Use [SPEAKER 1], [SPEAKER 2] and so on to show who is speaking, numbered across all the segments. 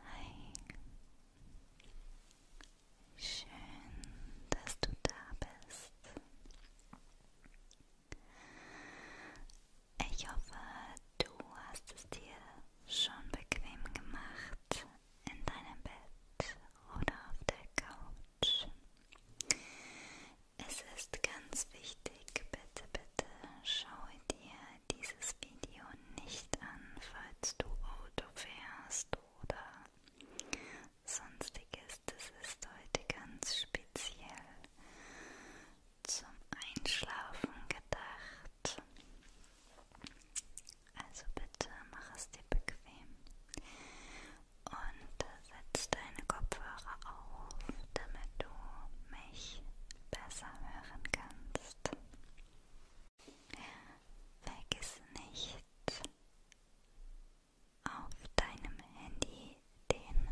[SPEAKER 1] Hi. Schön, dass du da bist. Ich hoffe, du hast es dir schon bequem gemacht in deinem Bett oder auf der Couch. Es ist ganz wichtig, bitte, bitte schau dir dieses Video nicht an, falls du Auto fährst oder sonstiges. Das ist heute ganz speziell zum Einschlafen gedacht gemacht. Also bitte mach es dir bequem und setz deine Kopfhörer auf, damit du mich besser hören kannst. Vergiss nicht, auf deinem Handy den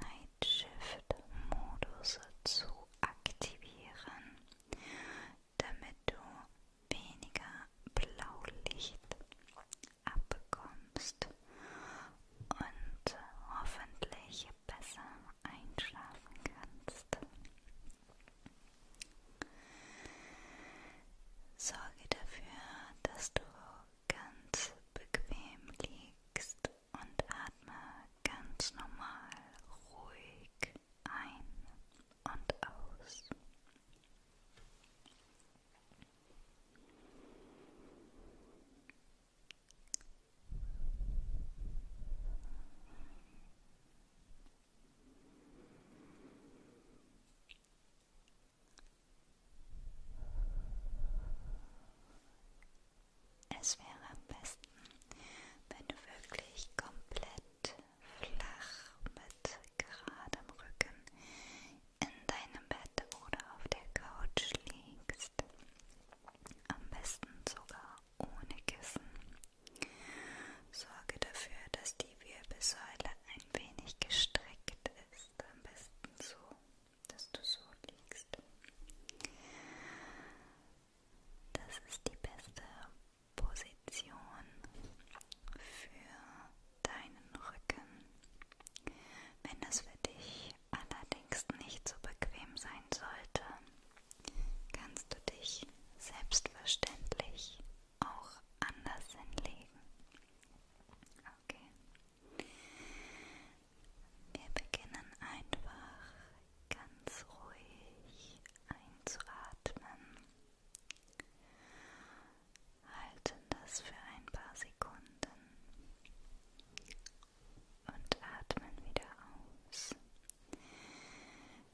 [SPEAKER 1] Night Shift Modus zu aktivieren damit du weniger Blaulicht abbekommst und hoffentlich besser einschlafen kannst. Sorge dafür, dass du ganz bequem liegst und atme ganz normal, ruhig ein und aus. Es wäre am besten, wenn du wirklich komplett flach mit geradem Rücken in deinem Bett oder auf der Couch liegst. Am besten sogar ohne Kissen. Sorge dafür, dass die Wirbelsäule ein wenig gestreckt ist. Am besten so, dass du so liegst. Das ist die beste Position für deinen Rücken. Wenn das für dich allerdings nicht so bequem sein sollte, kannst du dich selbstverständlich auch anders hinlegen. Okay. Wir beginnen einfach ganz ruhig einzuatmen. Halten das für ein paar Sekunden und atmen wieder aus.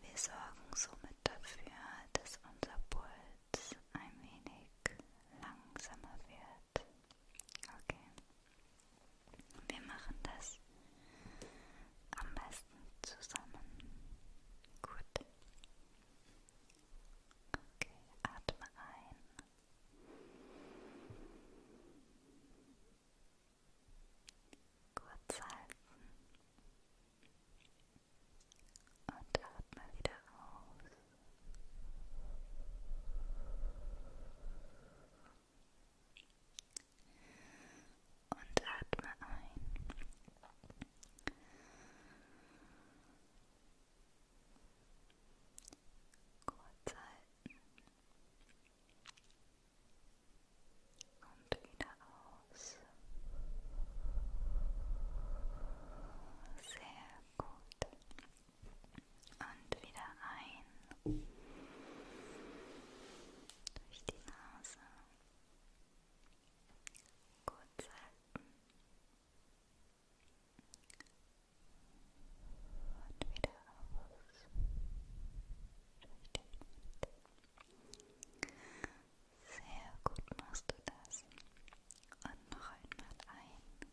[SPEAKER 1] Wir sorgen somit dafür, dass unser Puls ein wenig langsamer wird. Okay. Wir machen das am besten zusammen. Gut. Okay, atme ein. Kurz halten. Und atme wieder aus. und atme ein. Kurz halten und wieder aus. Sehr gut. Und wieder ein. Durch die Nase. Kurz halten. Und wieder aus. Sehr gut machst du das. Und noch einmal ein.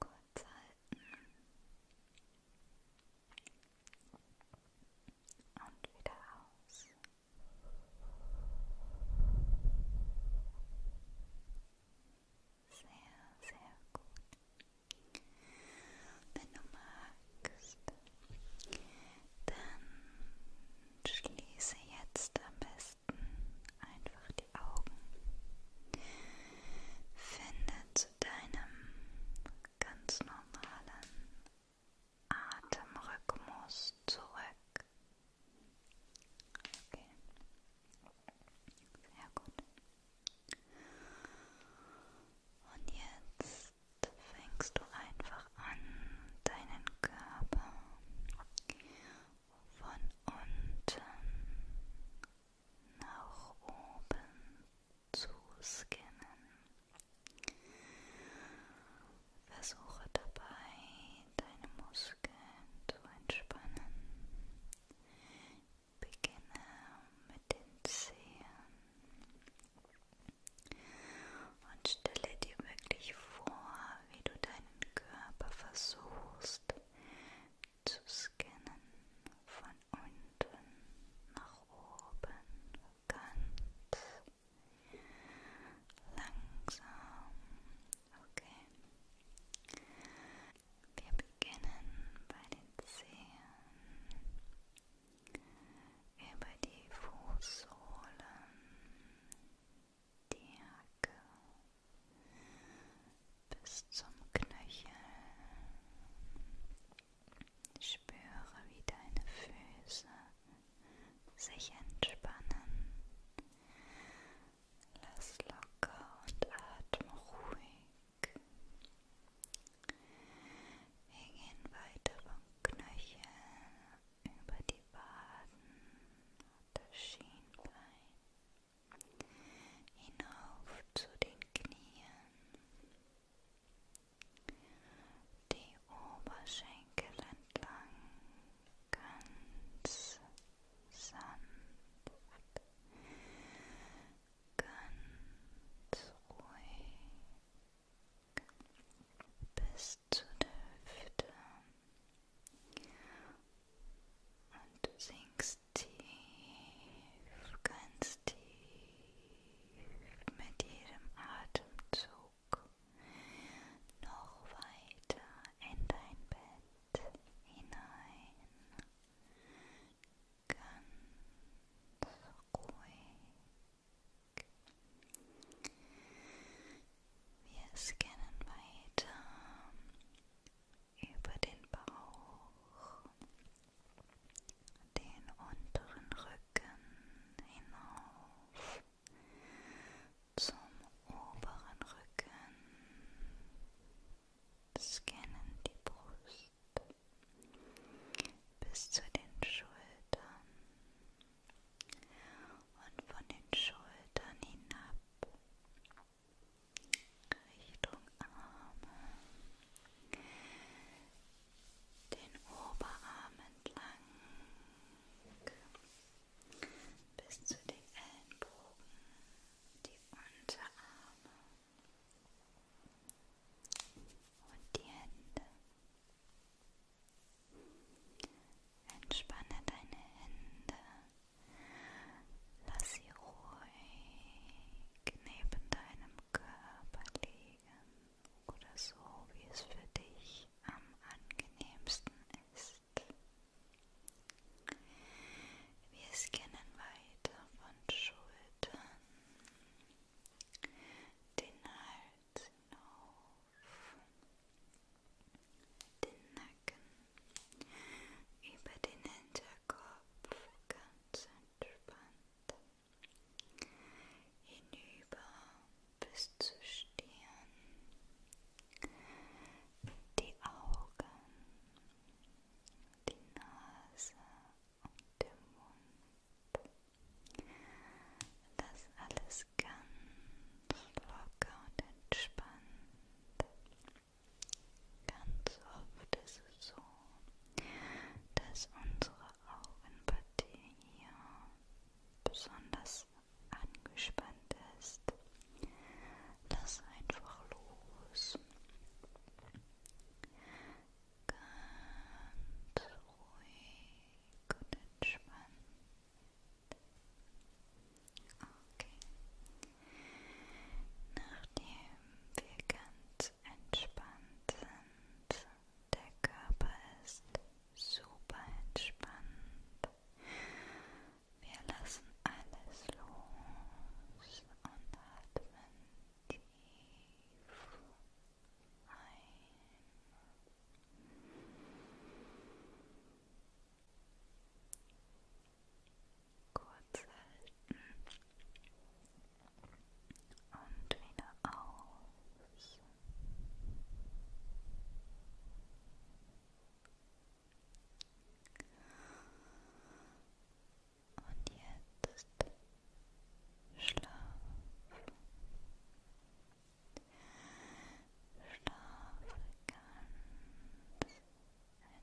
[SPEAKER 1] Kurz halten. Und wieder aus. Sehr, sehr gut. Wenn du magst, dann schließe jetzt am besten einfach die Augen. Finde zu deinem ganz normalen Atemrhythmus zurück. Okay. Sehr gut. Und jetzt fängst du einfach an, deinen Körper von unten nach oben zu scannen. Versuche dabei, deine Muskeln zu entspannen. Beginne mit den Zehen und stelle dir wirklich vor, wie du deinen Körper versuchst zu scannen von unten nach oben ganz langsam. Okay. Wir beginnen bei den Zehen, über die Fußsohlen, die Hacke, bis zum Knöchel. Spüre, wie deine Füße sich entspannen. Lass locker und atme ruhig. Wir gehen weiter vom Knöchel über die Waden und das Schienbein hinauf zu den Knien, die Oberschenkel entlang ganz sanft, ganz ruhig bis zu der Hüfte und sinkst ganz tief, ganz tief mit jedem Atemzug noch weiter in dein Bett hinein. Ganz ruhig. Wir scannen weiter über den Bauch, den unteren Rücken hinauf zum oberen Rücken, scannen die Brust bis zu den Schultern und von den Schultern hinab Richtung Arme, den Oberarm entlang bis zu den Ellenbogen, die Unterarme und die Hände. Entspanne deine Hände, lass sie ruhig neben deinem Körper liegen oder so, wie es für dich am angenehmsten ist. Wir scannen weiter von Schultern, den Hals hinauf, den Nacken, über den Hinterkopf, ganz entspannt hinüber bis zur Stirn, die Augen, die Nase und der Mund. Das alles ganz locker und entspannt. Ganz oft ist es so, dass unsere Augenpartie hier besonders angespannt ist. Lass einfach los. Ganz ruhig und entspannt. Okay. Nachdem wir ganz entspannt sind. Der Körper ist super entspannt. Wir lassen alles los und atmen tief ein kurz halten und wieder aus. Und jetzt Schlaf. Schlafe ganz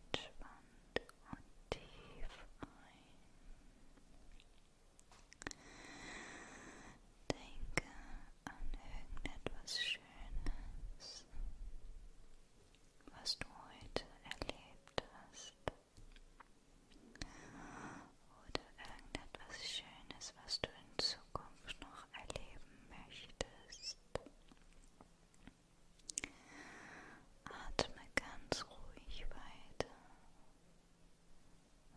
[SPEAKER 1] entspannt und tief ein. Denke an irgendetwas Schönes, was du heute erlebt hast. Oder irgendetwas Schönes, was du in Zukunft noch erleben möchtest. Atme ganz ruhig weiter.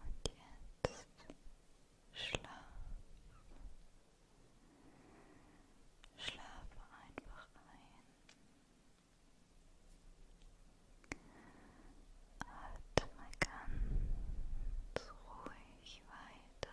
[SPEAKER 1] Und jetzt schlaf. Schlafe einfach ein. Atme ganz ruhig weiter.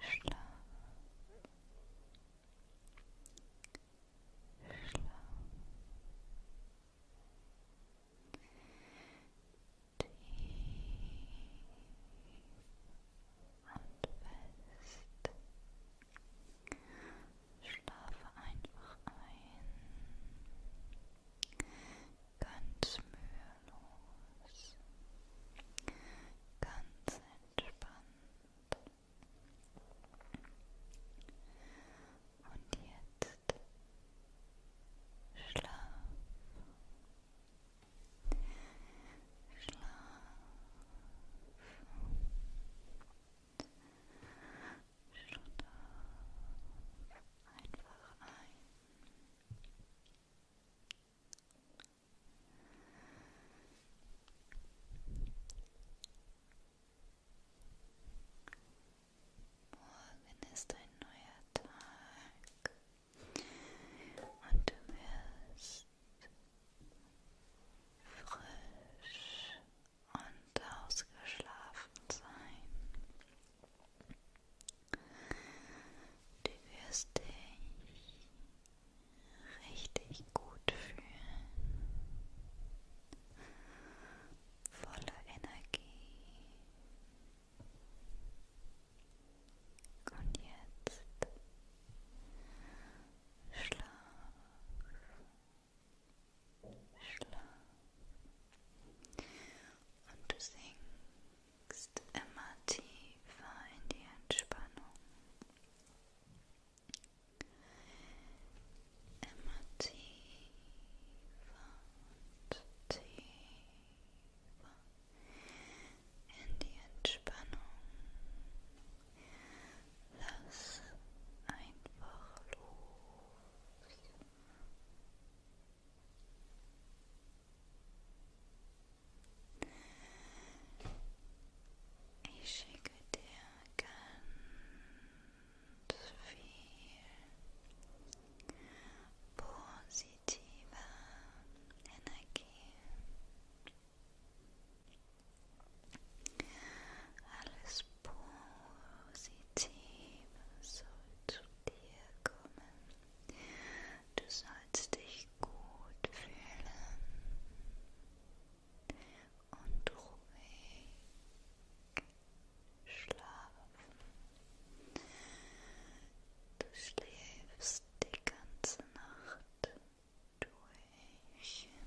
[SPEAKER 1] Schlaf. Schlaf. Tief und fest. Schlafe einfach ein. Ganz mühelos. Ganz entspannt. Und jetzt schlaf. Schlaf. Schlaf einfach ein. Morgen ist ein neuer Tag und du wirst frisch und ausgeschlafen sein. Du wirst dich richtig gut fühlen, voller Energie. Und jetzt Schlaf, Schlaf. Und du sinkst immer tiefer in die Entspannung. Immer tiefer und tiefer in die Entspannung. Lass einfach los. Ich schicke dir ganz viel positive Energie. Alles Positive soll zu dir kommen. Du sollst dich gut fühlen und ruhig schlafen. Du schläfst die ganze Nacht durch. Schlaf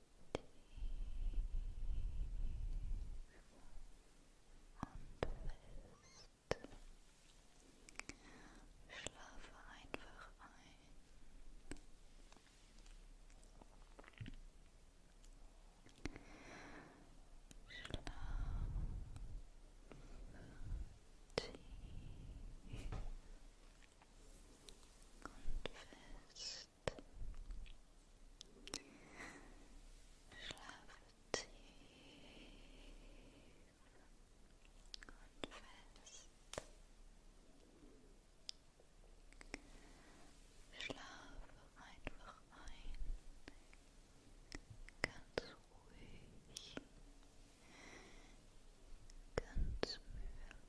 [SPEAKER 1] fest. Schlafe einfach ein. Schlafe tief und fest. Schlaf tief und fest. Schlafe einfach ein, ganz ruhig, ganz mühelos.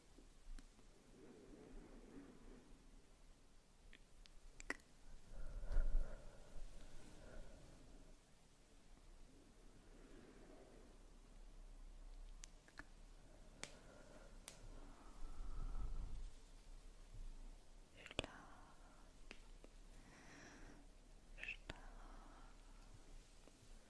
[SPEAKER 1] Stark, stark,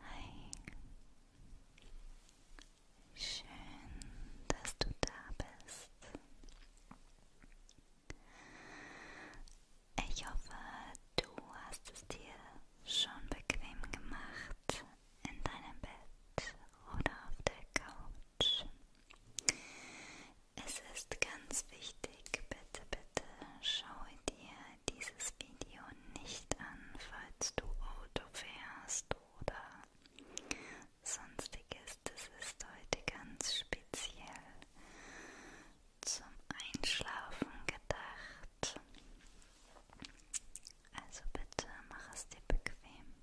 [SPEAKER 1] Hi. Schön, dass du da bist. Ich hoffe, du hast es dir schon bequem gemacht in deinem Bett oder auf der Couch. Es ist ganz wichtig, bitte, bitte schau dir dieses Video nicht an, falls du Auto fährst oder sonstiges. Das ist heute ganz speziell zum Einschlafen gedacht. Also bitte mach es dir bequem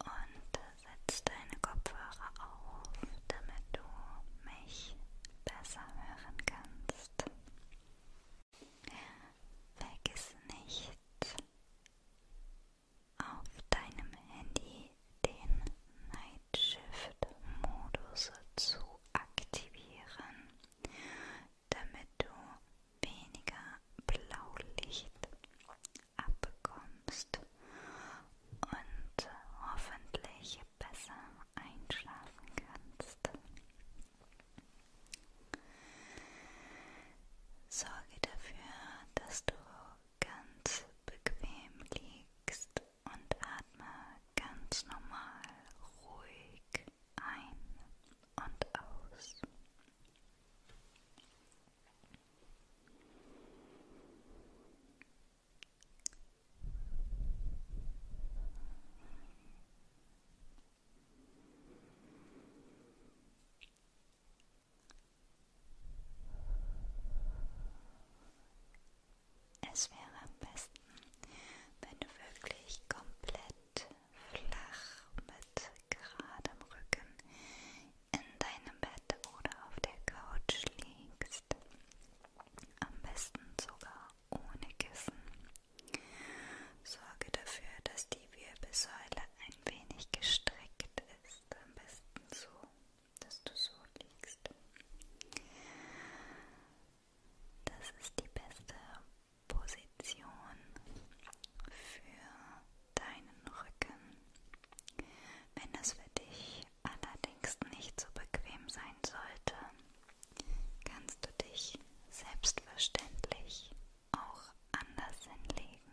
[SPEAKER 1] und setz deine Kopfhörer auf, damit du mich besser hören kannst. Vergiss nicht, auf deinem Handy den Night Shift Modus zu aktivieren, damit du weniger Blaulicht abbekommst und hoffentlich besser einschlafen kannst. Sorge dafür, dass du ganz bequem liegst und atme ganz normal, ruhig ein und aus. Es wäre am besten, wenn du wirklich komplett flach mit geradem Rücken in deinem Bett oder auf der Couch liegst. Am besten sogar ohne Kissen. Sorge dafür, dass die Wirbelsäule ein wenig gestreckt ist. Am besten so, dass du so liegst. Das ist die beste Position für deinen Rücken. Wenn das für dich allerdings nicht so bequem sein sollte, kannst du dich selbstverständlich auch anders hinlegen.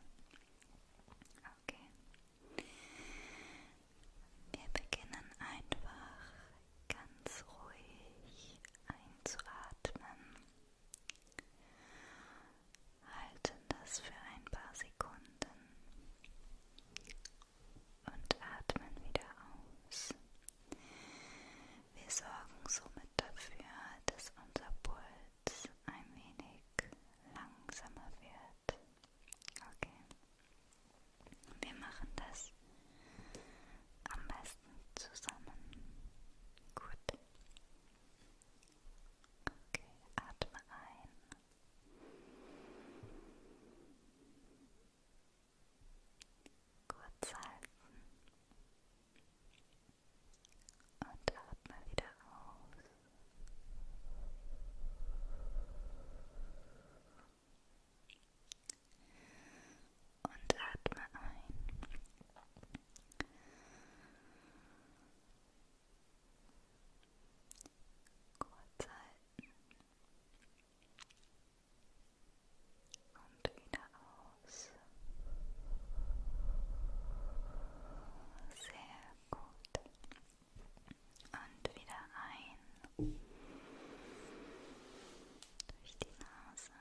[SPEAKER 1] Okay. Wir beginnen einfach ganz ruhig einzuatmen. Halten das für ein paar Sekunden und atmen wieder aus. Wir sorgen somit dafür, dass unser Puls ein wenig langsamer wird. Okay. Wir machen das am besten zusammen. Gut. Okay, atme ein Kurz halten und atme wieder aus. Und atme ein. Kurz halten. Und wieder aus. Sehr gut. Und wieder ein. Durch die Nase.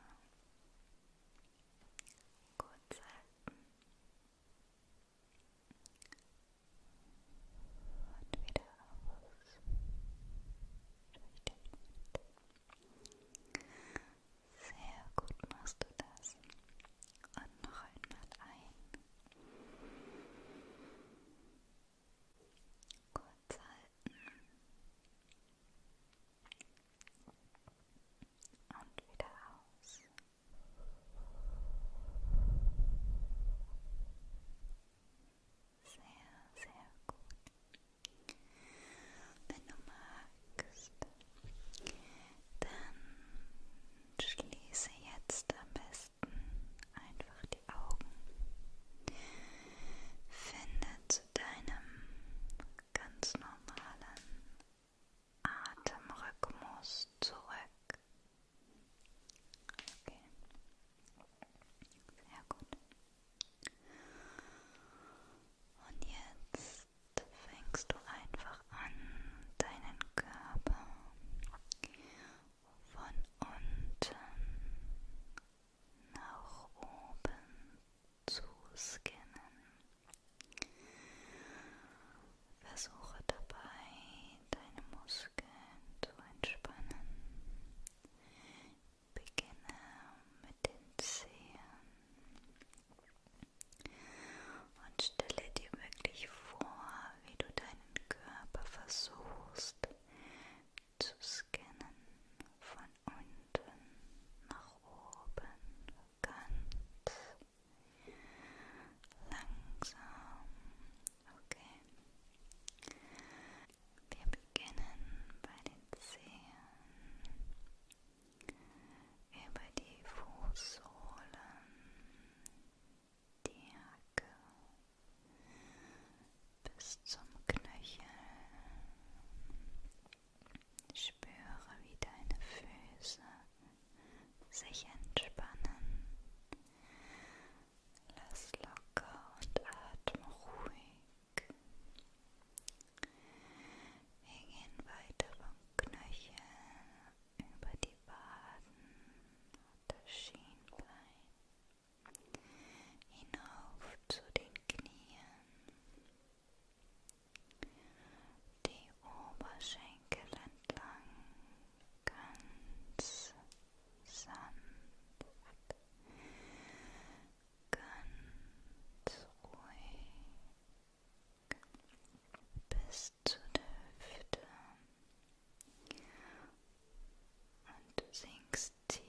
[SPEAKER 1] Kurz halten und wieder aus durch den Mund. Sehr gut machst du das. Und noch einmal ein. Kurz halten. Und wieder aus. Sehr, sehr gut. Wenn du magst, dann schließe jetzt am besten einfach die Augen. Finde zu deinem ganz normalen Atemrhythmus zurück. Okay. Sehr gut. Und jetzt fängst du einfach an, deinen Körper von unten nach oben zu scannen. Versuche dabei deine Muskeln zu entspannen. Beginne mit den Zehen und stelle dir wirklich vor, wie du deinen Körper versuchst zu scannen von unten nach oben ganz langsam Okay. Wir beginnen bei den Zehen, über die Fußsohlen, die Hacke bis zum Knöchel. Spüre, wie deine Füße sich entspannen Lass locker und atme ruhig. Wir gehen weiter vom Knöchel über die Waden und das Schienbein hinauf zu den Knien. Die Oberschenkel entlang ganz sanft, ganz ruhig bis zu der Hüfte und du sinkst tief,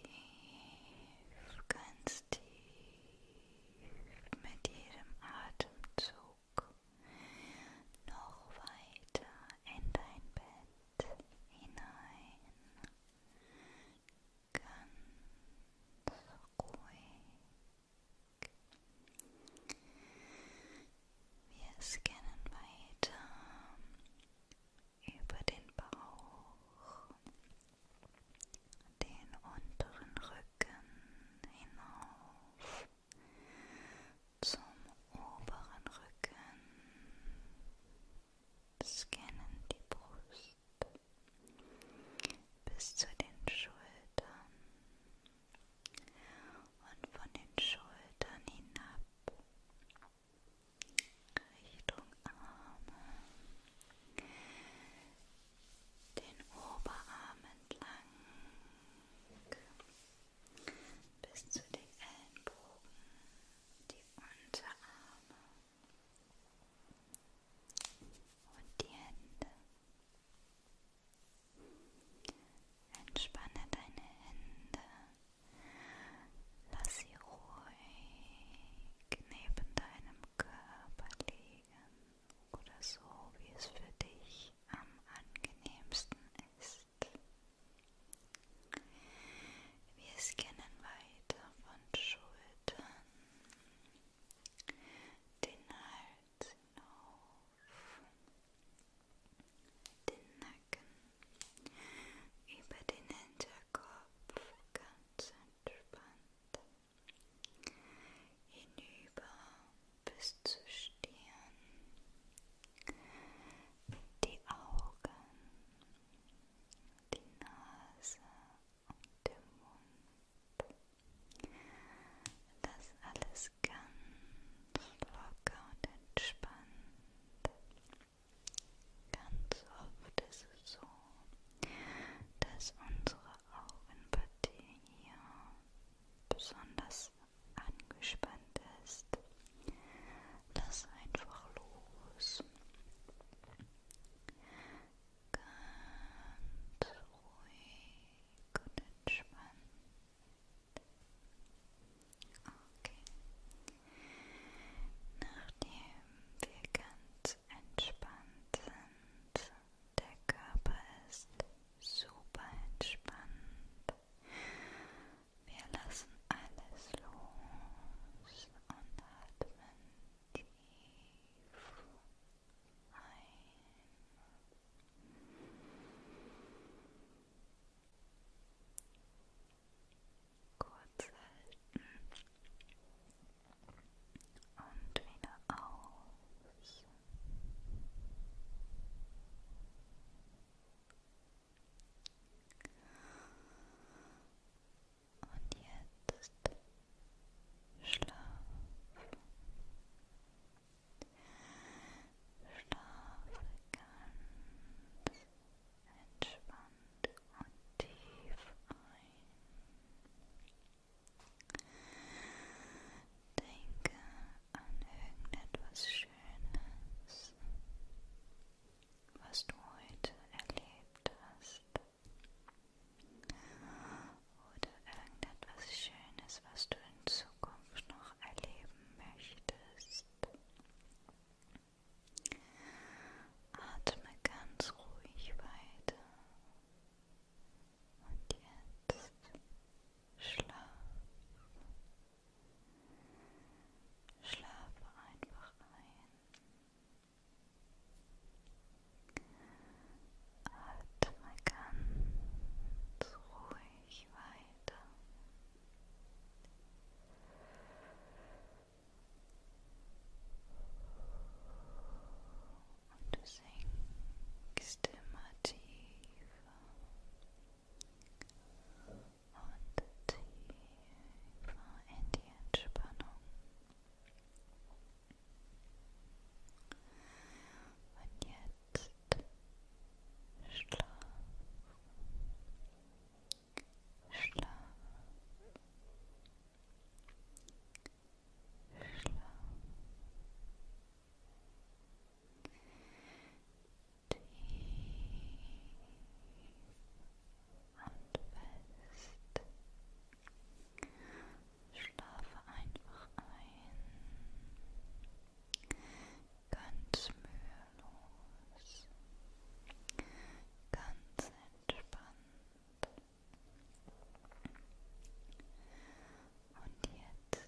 [SPEAKER 1] ganz tief mit jedem Atemzug noch weiter in dein Bett hinein, ganz ruhig. Wir scannen weiter über den Bauch, den unteren Rücken hinauf zum oberen Rücken, scannen die Brust bis zu den Schultern und von den Schultern hinab Richtung Arme, den Oberarm entlang bis zu den Ellenbogen, die Unterarme und die Hände. Entspanne deine Hände, lass sie ruhig neben deinem Körper liegen oder so, wie es für dich am angenehmsten ist ist. Wir scannen weiter von Schultern den Hals hinauf, den Nacken über den Hinterkopf ganz entspannt hinüber bis zur Stirn die Augen, die Nase und der Mund. Das alles ganz locker und entspannt. Ganz oft ist es so, dass unsere Augenpartie hier besonders alles angespannt ist, lass einfach los. Ganz ruhig und entspannt. Okay. Nachdem wir ganz entspannt sind, der Körper ist super entspannt wir lassen alles los und atmen tief ein. Kurz halten und wieder aus. Und jetzt schlaf. Schlafe ganz entspannt und tief ein. Denke an irgendetwas Schönes, was du heute erlebt hast. Oder irgendetwas Schönes, was du in Zukunft noch erleben möchtest. Atme ganz ruhig weiter. Und jetzt Schlaf. Schlafe einfach ein. Atme ganz ruhig weiter. Und du sinkst immer tiefer und tiefer in die Entspannung. Und jetzt schlaf, schlaf, schlaf. Tief und fest. Schlafe einfach ein. Ganz mühelos. Ganz entspannt. Und jetzt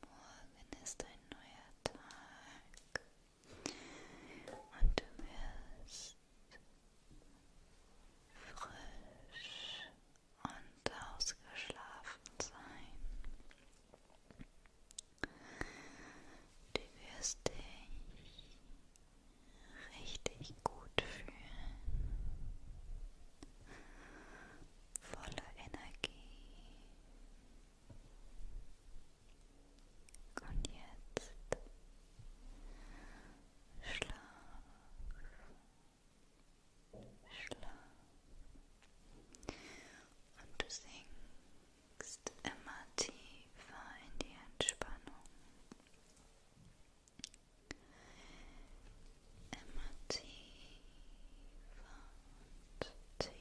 [SPEAKER 1] Morgen ist ein neuer Tag und du wirst frisch und ausgeschlafen sein. Du wirst dich richtig gut fühlen, voller Energie und jetzt schlaf, schlaf. Und du sinkst immer tiefer in die Entspannung. Immer tiefer und tiefer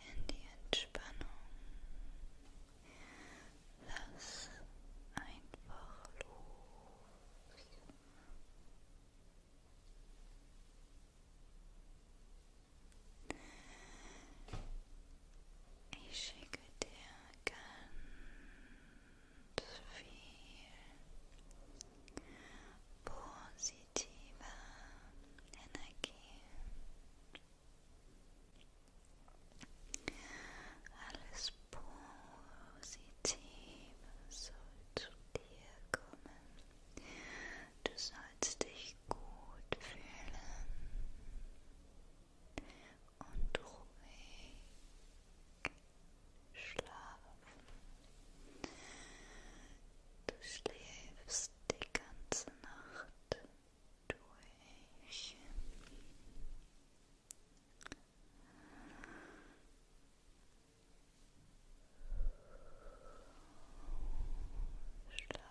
[SPEAKER 1] in die Entspannung. Lass einfach los. Ich schicke dir ganz viel positive Energie. Alles Positive soll zu dir kommen. Du sollst dich gut fühlen und ruhig schlafen. Du schläfst die ganze Nacht durch. Schlaf. Schlaf.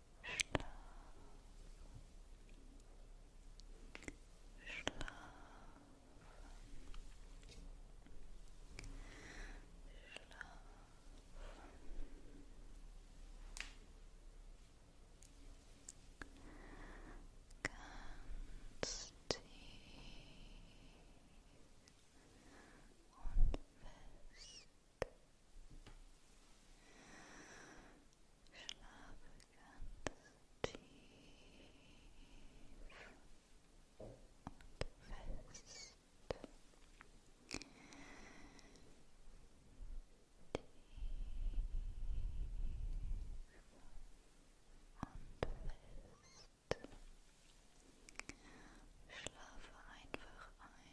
[SPEAKER 1] Schlaf. Schlaf. Ganz tief und fest ganz tief und fest. Tief und fest. Schlafe einfach ein.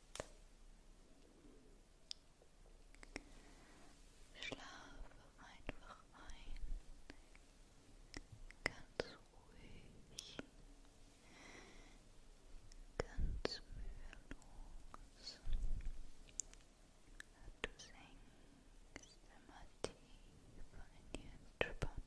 [SPEAKER 1] Schlafe einfach ein, ganz ruhig, ganz mühelos. Du sinkst immer tiefer in die Entspannung.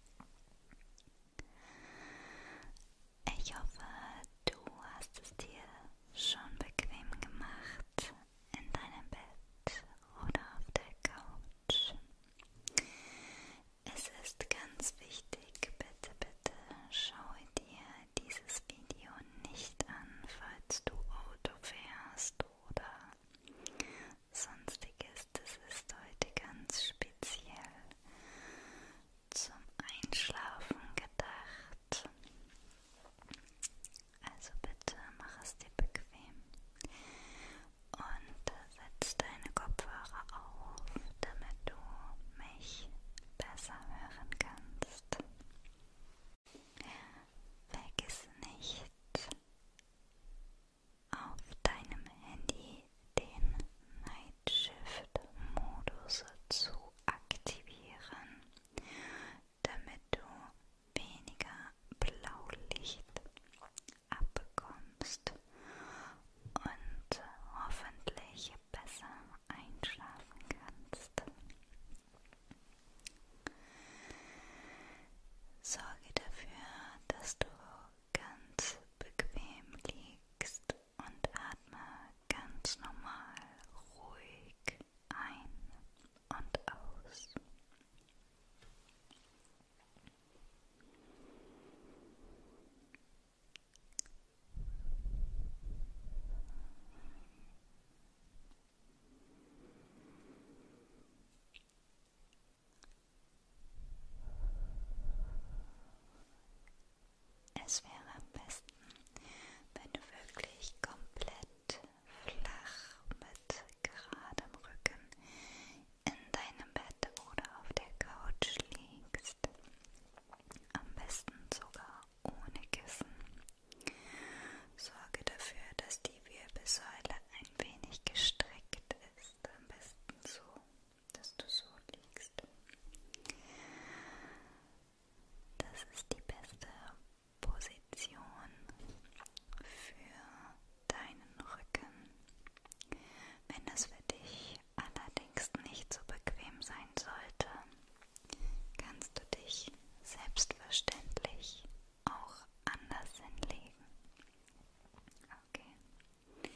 [SPEAKER 1] Ich hoffe, du hast es dir schon bequem gemacht in deinem Bett oder auf der Couch. Es ist ganz wichtig, bitte, bitte schaue dir dieses Video nicht an, falls du Auto fährst oder sonstiges, das ist heute ganz speziell zum Einschlafen gedacht. Also bitte mach es dir bequem und setz deine Kopfhörer auf, damit du mich besser hören kannst. Vergiss nicht, auf deinem Handy den Night Shift Modus zu aktivieren, damit du weniger Blaulicht abbekommst und hoffentlich besser einschlafen kannst. Sorge dafür, dass du ganz bequem liegst und atme ganz normal ruhig ein und aus. Es wäre am besten, wenn du wirklich komplett flach mit geradem Rücken in deinem Bett oder auf der Couch liegst. Am besten sogar ohne Kissen. Sorge dafür, dass die Wirbelsäule ein wenig gestreckt ist jetzt am besten so, dass du so liegst. Das ist die beste Position für deinen Rücken. Wenn das für dich allerdings nicht so bequem sein sollte, kannst du dich selbstverständlich auch anders hinlegen. Okay.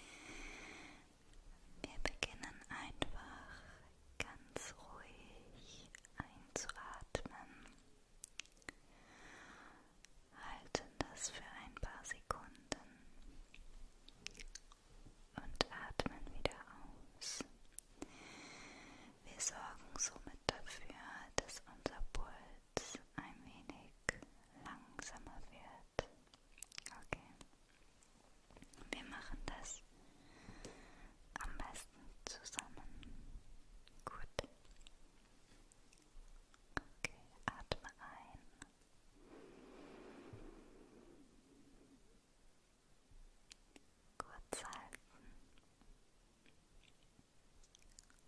[SPEAKER 1] Wir beginnen einfach ganz ruhig einzuatmen. Halten das für ein paar Sekunden und atmen wieder aus. Wir sorgen somit dafür, dass unser Puls jetzt ein wenig langsamer wird. Okay. Wir machen das am besten zusammen. Gut. Okay, atme ein. Kurz halten.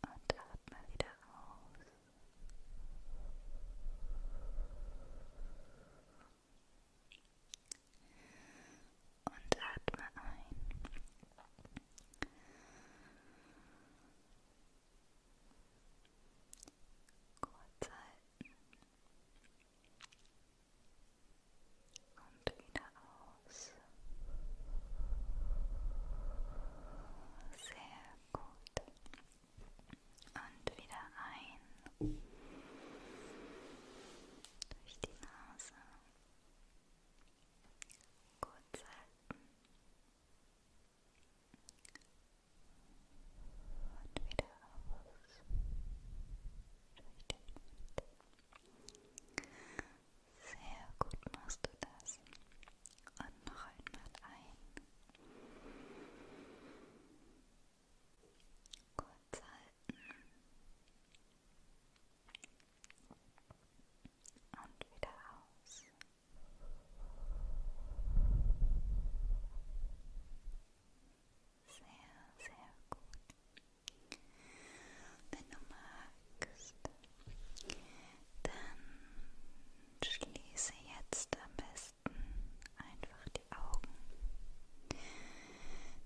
[SPEAKER 1] und atme wieder aus. Und atme ein. Kurz halten. Und wieder aus. gut. Und wieder ein. Durch die Nase. Gut halten. Und wieder raus. Durch den Mund. Sehr gut machst du das. Und noch einmal ein. Kurz halten. Und wieder aus. Sehr, sehr gut. Wenn du magst, magst, dann schließe jetzt am besten einfach die Augen.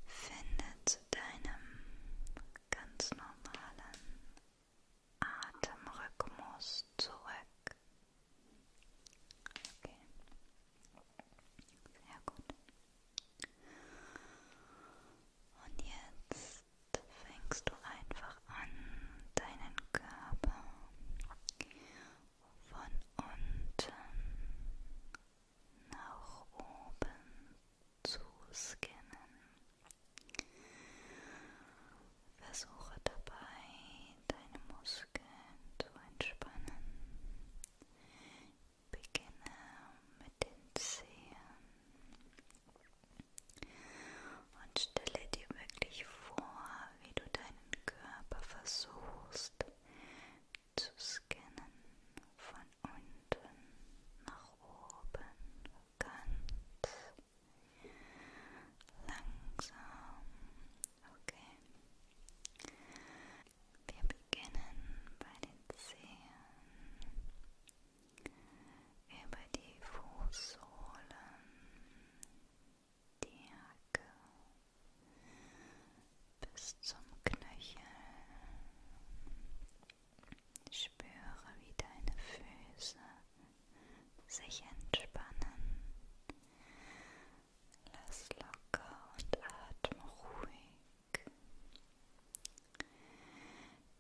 [SPEAKER 1] Finde zu deinem ganz normalen Atemrhythmus zurück. Okay. Sehr gut. Und jetzt fängst du einfach an, deinen Körper von unten nach oben zu scannen. Versuche dabei, deine Muskeln zu entspannen. Beginne mit den Zehen, und stelle dir wirklich vor, wie du deinen Körper versuchst zu scannen von unten nach oben ganz langsam. Okay. Wir beginnen bei den Zehen über die Fußsohlen, die Hacke bis zum Knöchel. Spüre, wie deine Füße sich entspannen. Lass locker und atme ruhig.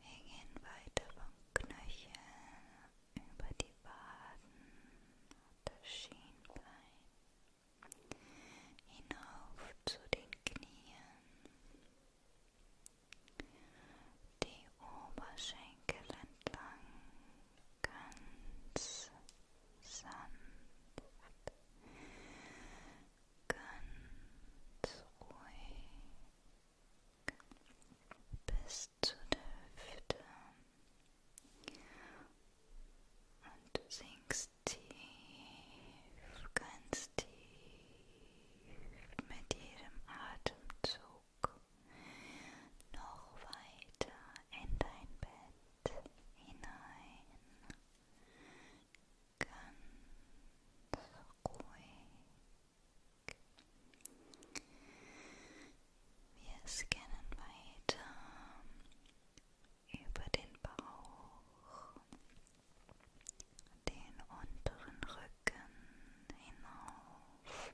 [SPEAKER 1] Wir gehen weiter vom Knöchel über die Waden und das Schienbein hinauf zu den Knien, die Oberschenkel entlang ganz sanft, ganz ruhig bis zu der Hüfte und sinkst tief, ganz tief mit jedem Atemzug noch weiter in dein Bett hinein. Ganz ruhig wir scannen weiter über den Bauch, den unteren Rücken hinauf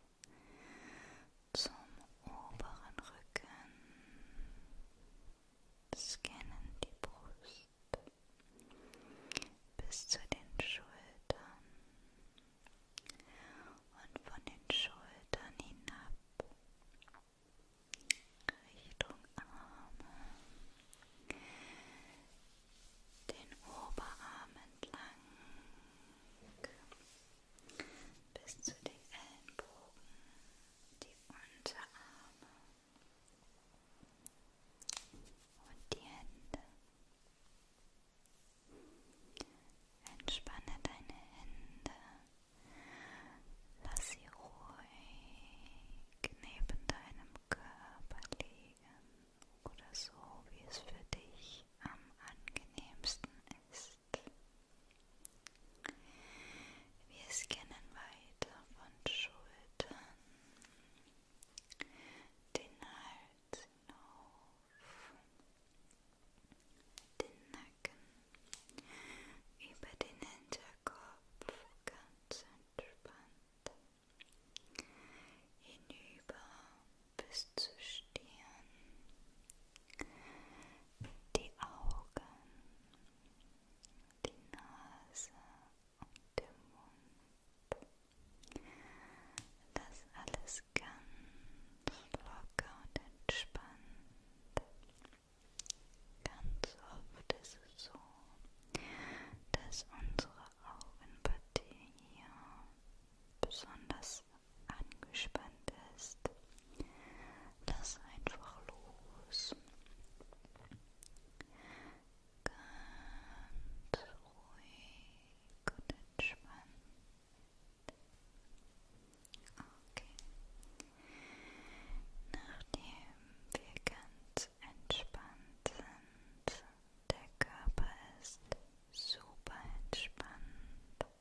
[SPEAKER 1] zum oberen Rücken, scannen die Brust bis zu den Schultern und von den Schultern hinab Richtung Arme, den Oberarm entlang bis zu den Ellenbogen, die Unterarme und die Hände. Entspanne deine Hände. Lass sie ruhig neben deinem Körper liegen oder so, wie es für dich am angenehmsten ist. Wir scannen weiter von Schultern, den Hals. Hals hinauf, den Nacken, über den Hinterkopf ganz entspannt, hinüber bis zur Stirn, die Augen, die Nase und der Mund. Das alles ganz locker und entspannt. Ganz oft ist es so, dass unsere Augenpartie hier besonders angespannt ist. Lass einfach los. Ganz ruhig und entspannt. Okay. Nachdem wir ganz entspannt sind, der Körper ist super entspannt.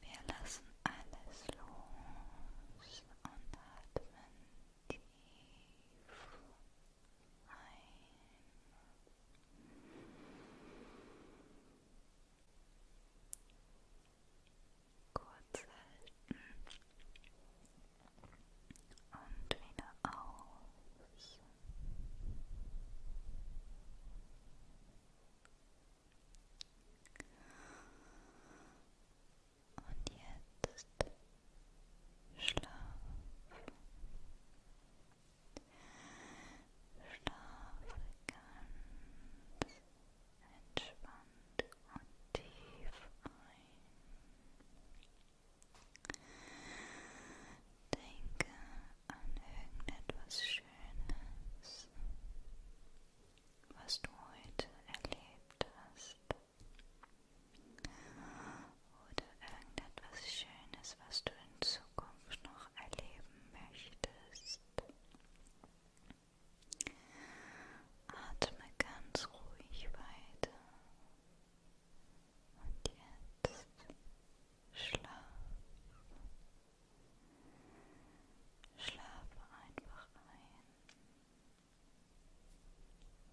[SPEAKER 1] Wir lassen alles los und atmen tief ein. Kurz halten. Und wieder aus. Und jetzt Schlaf. Schlafe ganz entspannt und tief ein. Denke an irgendetwas Schönes, was du heute erlebt hast. Oder irgendetwas Schönes, was du in Zukunft noch erleben möchtest. Atme ganz ruhig weiter. Und jetzt schlaf. Schlafe einfach ein.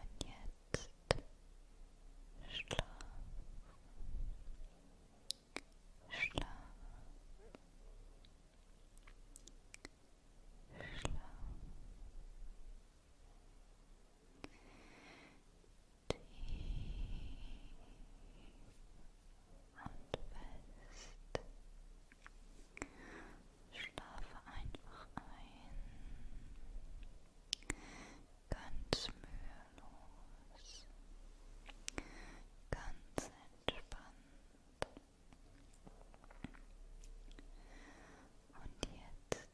[SPEAKER 1] Und jetzt schlaf, schlaf, schlaf. Tief und fest Schlafe einfach ein. Ganz mühelos. Ganz entspannt. Und jetzt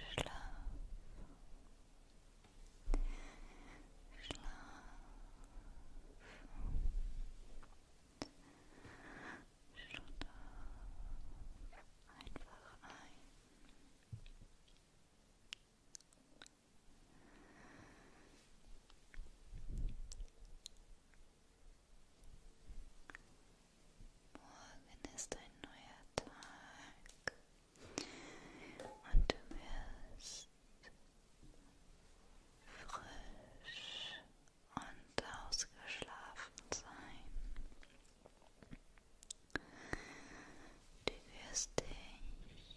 [SPEAKER 1] schlaf. Schlaf. Schlund einfach ein. Morgen ist ein neuer Tag und du wirst frisch und ausgeschlafen sein. Du wirst dich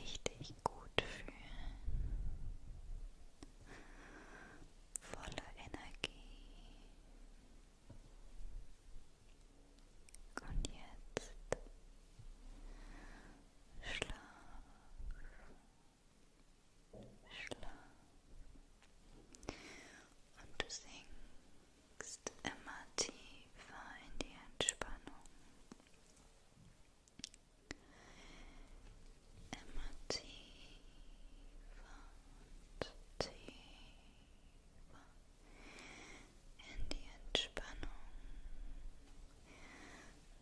[SPEAKER 1] richtig gut fühlen, voller Energie. Und jetzt schlaf. Schlaf. Und du sinkst immer tiefer in die Entspannung. Immer tiefer und tiefer in die Entspannung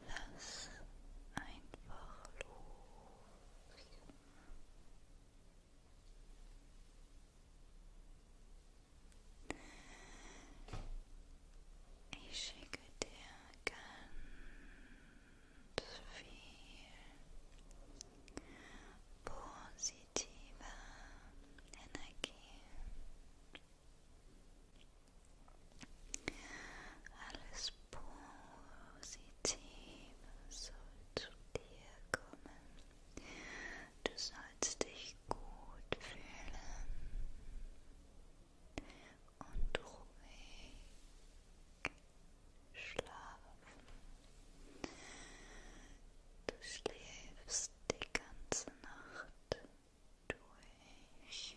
[SPEAKER 1] Lass einfach los. Ich schicke dir ganz viel positive Energie. Alles Positive soll zu dir kommen. Du sollst dich gut fühlen und ruhig schlafen. Du schläfst die ganze Nacht durch.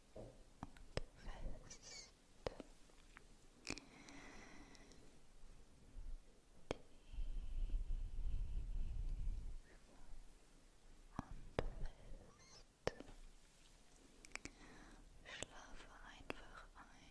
[SPEAKER 1] und fest. Tief und fest. Schlafe einfach ein.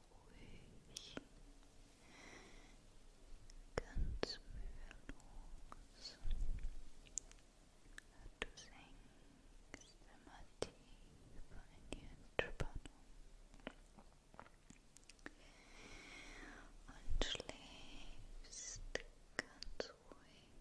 [SPEAKER 1] ruhig, ganz mühelos. Du sinkst immer tiefer in die Entspannung und schläfst ganz ruhig.